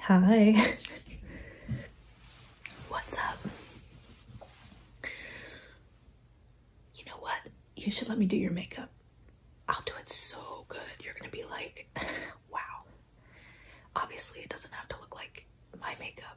Hi. What's up? You know what? You should let me do your makeup. I'll do it so good. You're gonna be like, wow. Obviously, it doesn't have to look like my makeup,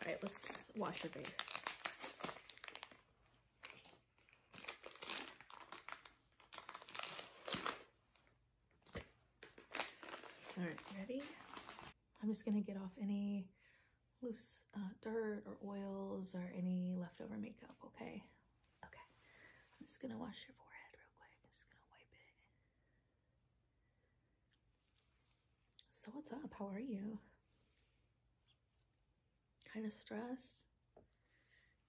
All right, let's wash your face. All right, ready? I'm just gonna get off any loose uh, dirt or oils or any leftover makeup, okay? Okay, I'm just gonna wash your forehead real quick. I'm just gonna wipe it. So, what's up? How are you? Kind of stressed?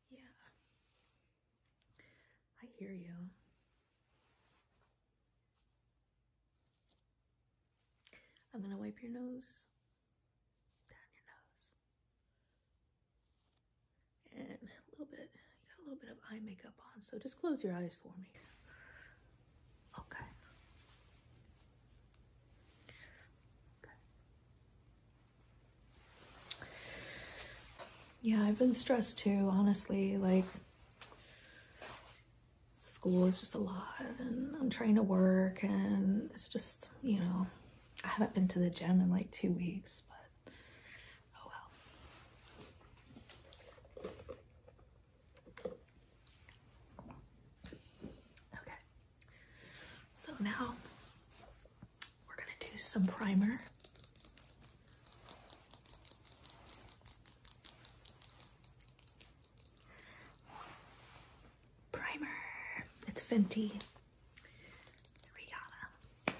Yeah. I hear you. I'm gonna wipe your nose down your nose. And a little bit, you got a little bit of eye makeup on, so just close your eyes for me. Okay. okay. Yeah, I've been stressed too, honestly. Like, school is just a lot, and I'm trying to work, and it's just, you know, I haven't been to the gym in like two weeks, but oh well. Okay, so now we're gonna do some primer. Primer. It's Fenty. Rihanna.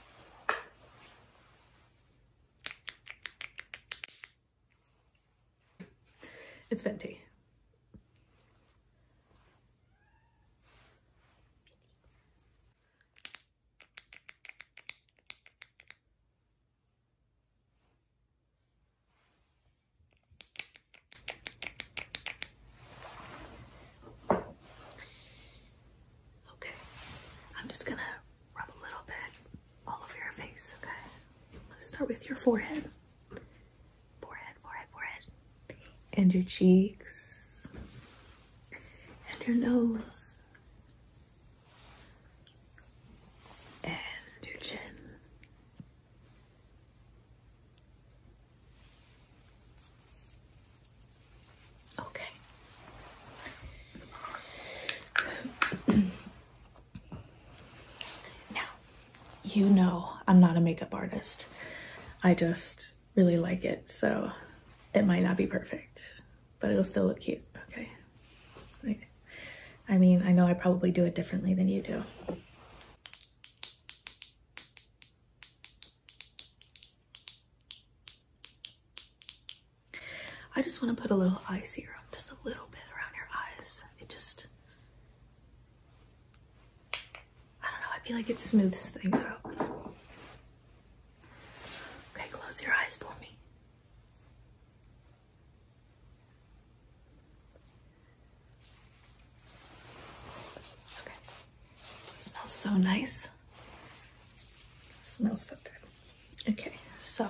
It's Fenty. Okay, I'm just gonna rub a little bit all over your face, okay? Let's start with your forehead. Forehead, forehead, forehead. And your cheeks. And your nose. And your chin. Okay. now, you know I'm not a makeup artist. I just really like it, so it might not be perfect, but it'll still look cute, okay? I mean, I know I probably do it differently than you do. I just want to put a little eye serum, just a little bit around your eyes. It just, I don't know, I feel like it smooths things out. Okay, close your eyes for me. Okay. smells so nice. smells so good. Okay, so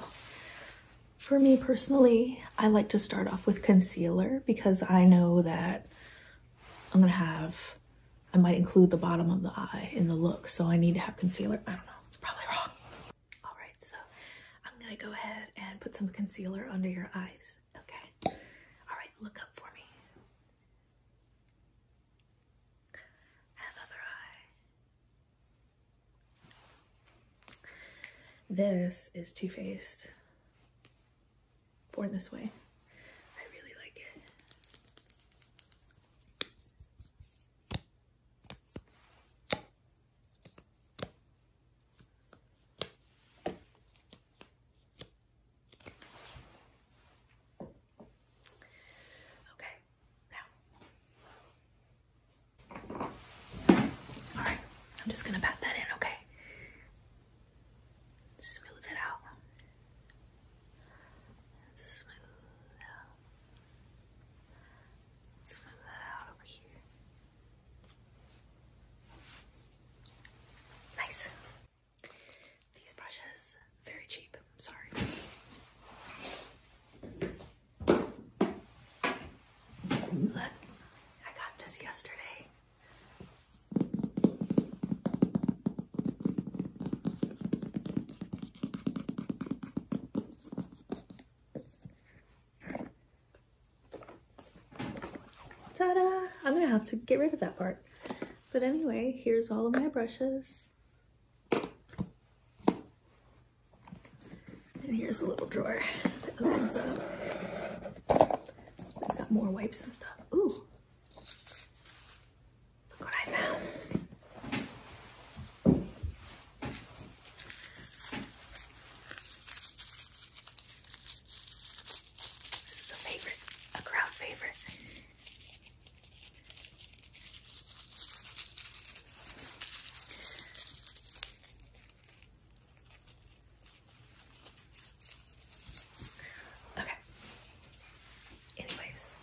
for me personally, I like to start off with concealer because I know that I'm gonna have, I might include the bottom of the eye in the look, so I need to have concealer. I don't know, it's probably wrong. All right, so I'm gonna go ahead and put some concealer under your eyes. Okay. All right, look up for me. And eye. This is Too Faced. Born This Way. I really like it. Okay, now. Alright, I'm just gonna pat that in, okay? Smooth it out. Smooth it out. Smooth that out over here. Nice. These brushes, very cheap, sorry. Look, I got this yesterday ta I'm gonna have to get rid of that part. But anyway, here's all of my brushes. And here's a little drawer that opens up. It's got more wipes and stuff. Ooh! Look what I found. This is a favorite, a crowd favorite. Okay. Anyways,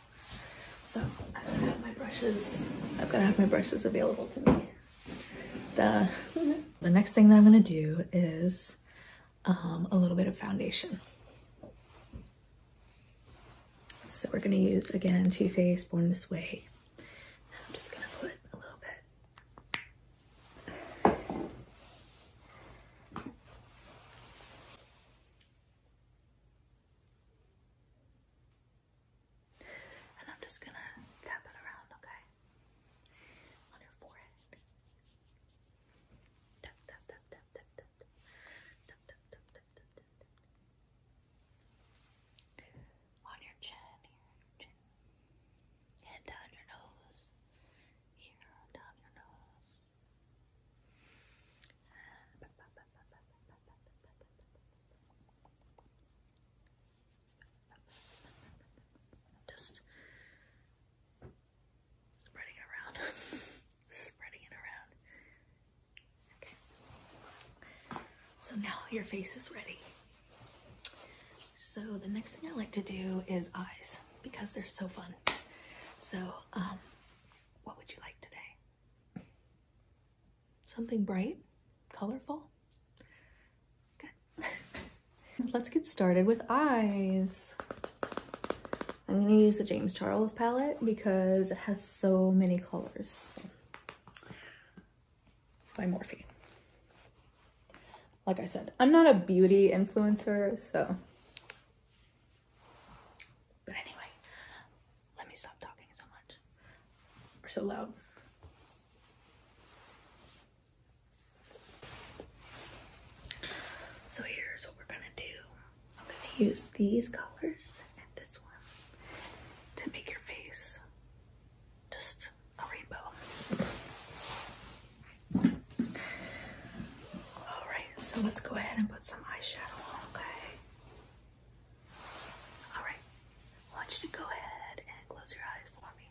so I'm gonna have my brushes. I've gotta have my brushes available to me. the next thing that I'm gonna do is um, a little bit of foundation. So we're gonna use, again, Too Faced Born This Way. I'm just gonna put a little bit. And I'm just gonna tap it around, okay? on her forehead. Tap, tap, tap, tap, tap, tap, tap, tap, tap, tap, tap, tap, On your chin, and down your nose, here down your nose. Just spreading it around. spreading it around. Okay. So now your face is ready. So the next thing I like to do is eyes because they're so fun. So, um, what would you like today? Something bright, colorful? Let's get started with eyes. I'm gonna use the James Charles palette because it has so many colors by Morphe. Like I said, I'm not a beauty influencer, so. But anyway, let me stop talking so much or so loud. So here's what we're gonna do. I'm gonna use these colors and this one to make your face just a rainbow. Alright, so let's go ahead and put some eyeshadow on, okay? Alright, I want you to go ahead and close your eyes for me.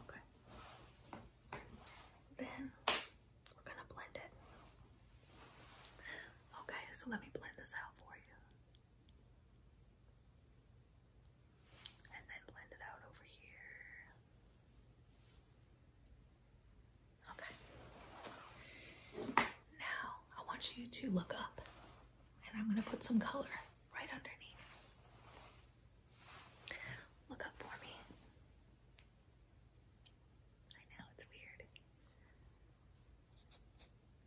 Okay. Then we're gonna blend it. Okay, so let me blend this out for you. And then blend it out over here. Okay. Now I want you to look up and I'm going to put some color right underneath. Look up for me. I know it's weird.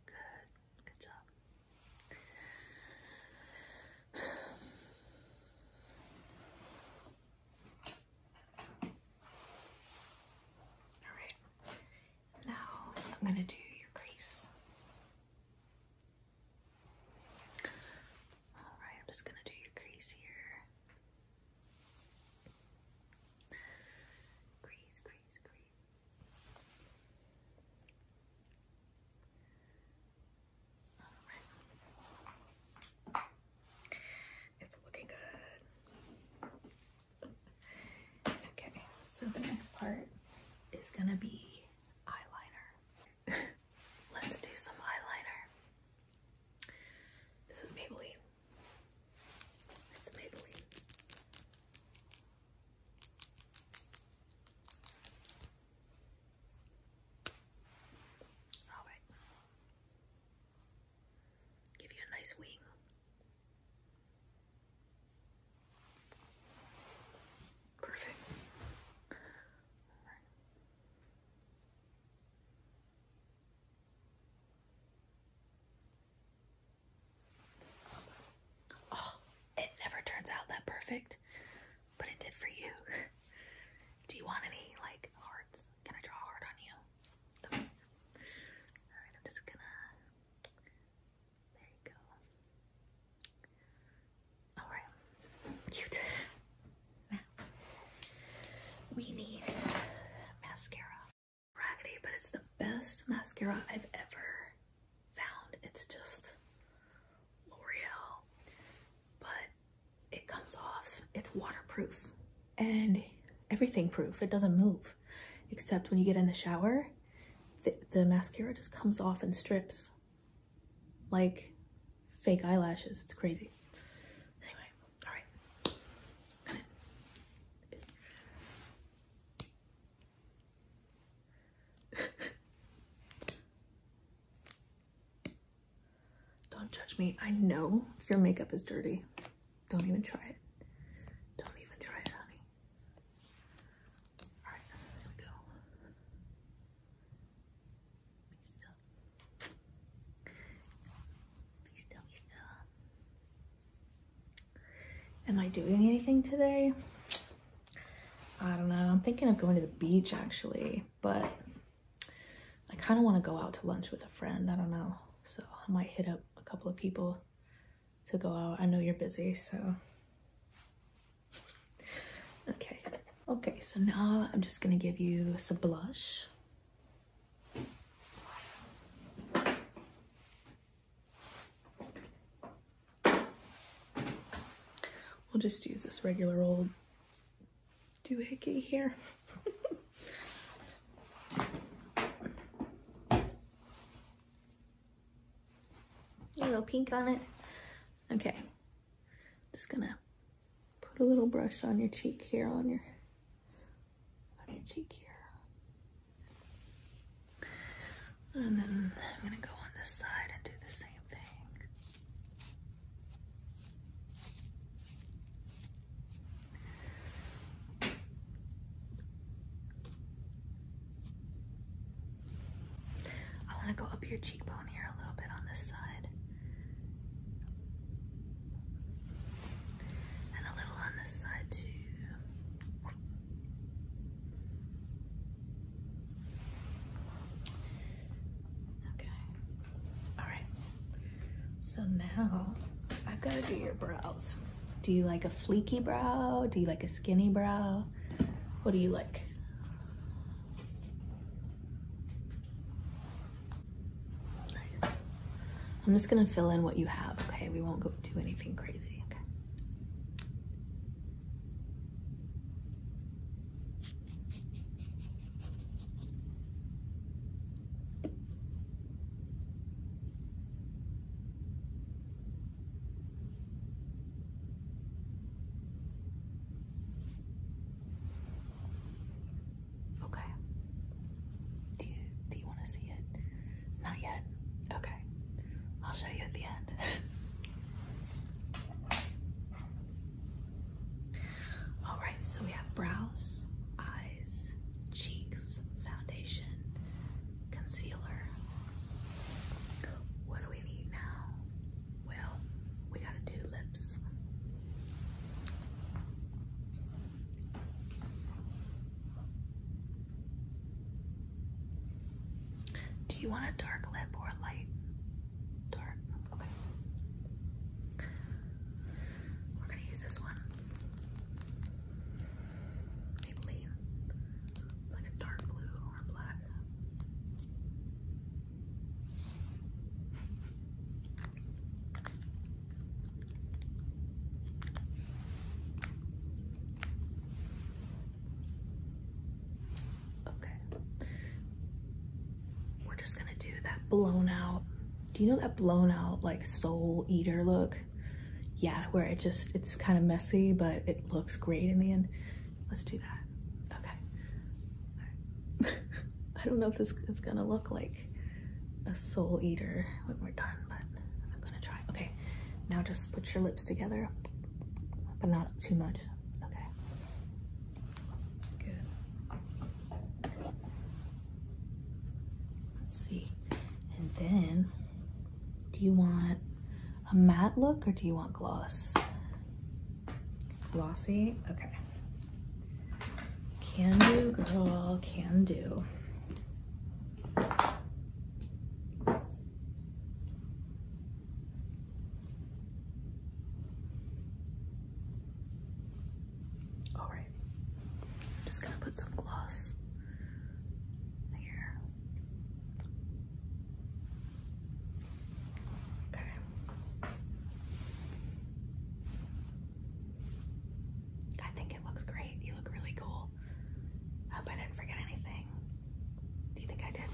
Good. Good job. All right. Now I'm going to do your crease. Alright, I'm just going to do your crease here. Crease, crease, crease. It's looking good. Okay, so the next part is gonna be eyeliner. Let's do some eyeliner. This is Maybelline. It's Maybelline. All right. Give you a nice wing. Perfect. All right. Oh, it never turns out that perfect, but it did for you. Do you want any like hearts? Can I draw hard on you? Alright, I'm just gonna. There you go. Alright. Cute. Now, we need mascara. Raggedy, but it's the best mascara I've ever found. It's just L'Oreal, but it comes off. It's waterproof and everything proof. It doesn't move, except when you get in the shower, the, mascara just comes off and strips like fake eyelashes. It's crazy. Anyway, all right. Don't judge me. I know your makeup is dirty. Don't even try it. Don't even try it, honey. All right, there we go. Be still, be still. Am I doing anything today? I don't know. I'm thinking of going to the beach actually, but I kind of want to go out to lunch with a friend. I don't know. So I might hit up a couple of people to go out. I know you're busy, so. Okay. Okay, so now I'm just gonna give you some blush. We'll just use this regular old doohickey here. A little pink on it. Okay. Just gonna put a little brush on your cheek here, on your on your cheek here. And then I'm gonna go on this side and do the same thing. I want to go up your cheekbone here a little bit on this side. And a little on this side too. Okay. All right. So now I've got to do your brows. Do you like a fleeky brow? Do you like a skinny brow? What do you like? I'm just gonna fill in what you have, okay? We won't go do anything crazy. Okay. Okay. Do you do you want to see it? Not yet. Okay. I'll show you at the end. All right, so we have brows, eyes, cheeks, foundation, concealer. What do we need now? Well, we gotta do lips. Do you want a dark lip or light? Dark, okay. We're gonna use this one. Maybelline. It's like a dark blue or black. Okay we're just gonna do that blown out. Do you know that blown out like soul eater look? Yeah, where it just, it's kind of messy, but it looks great in the end. Let's do that. Okay. I don't know if this is gonna look like a soul eater when we're done, but I'm gonna try. Okay, now just put your lips together, but not too much. Okay. Good. Let's see. And then, do you want a matte look or do you want gloss? Glossy? Okay. Can do, girl, can do. All right, I'm just gonna put some gloss here. Okay. I think it looks great. You look really cool. hope I didn't forget anything. Do you think I did?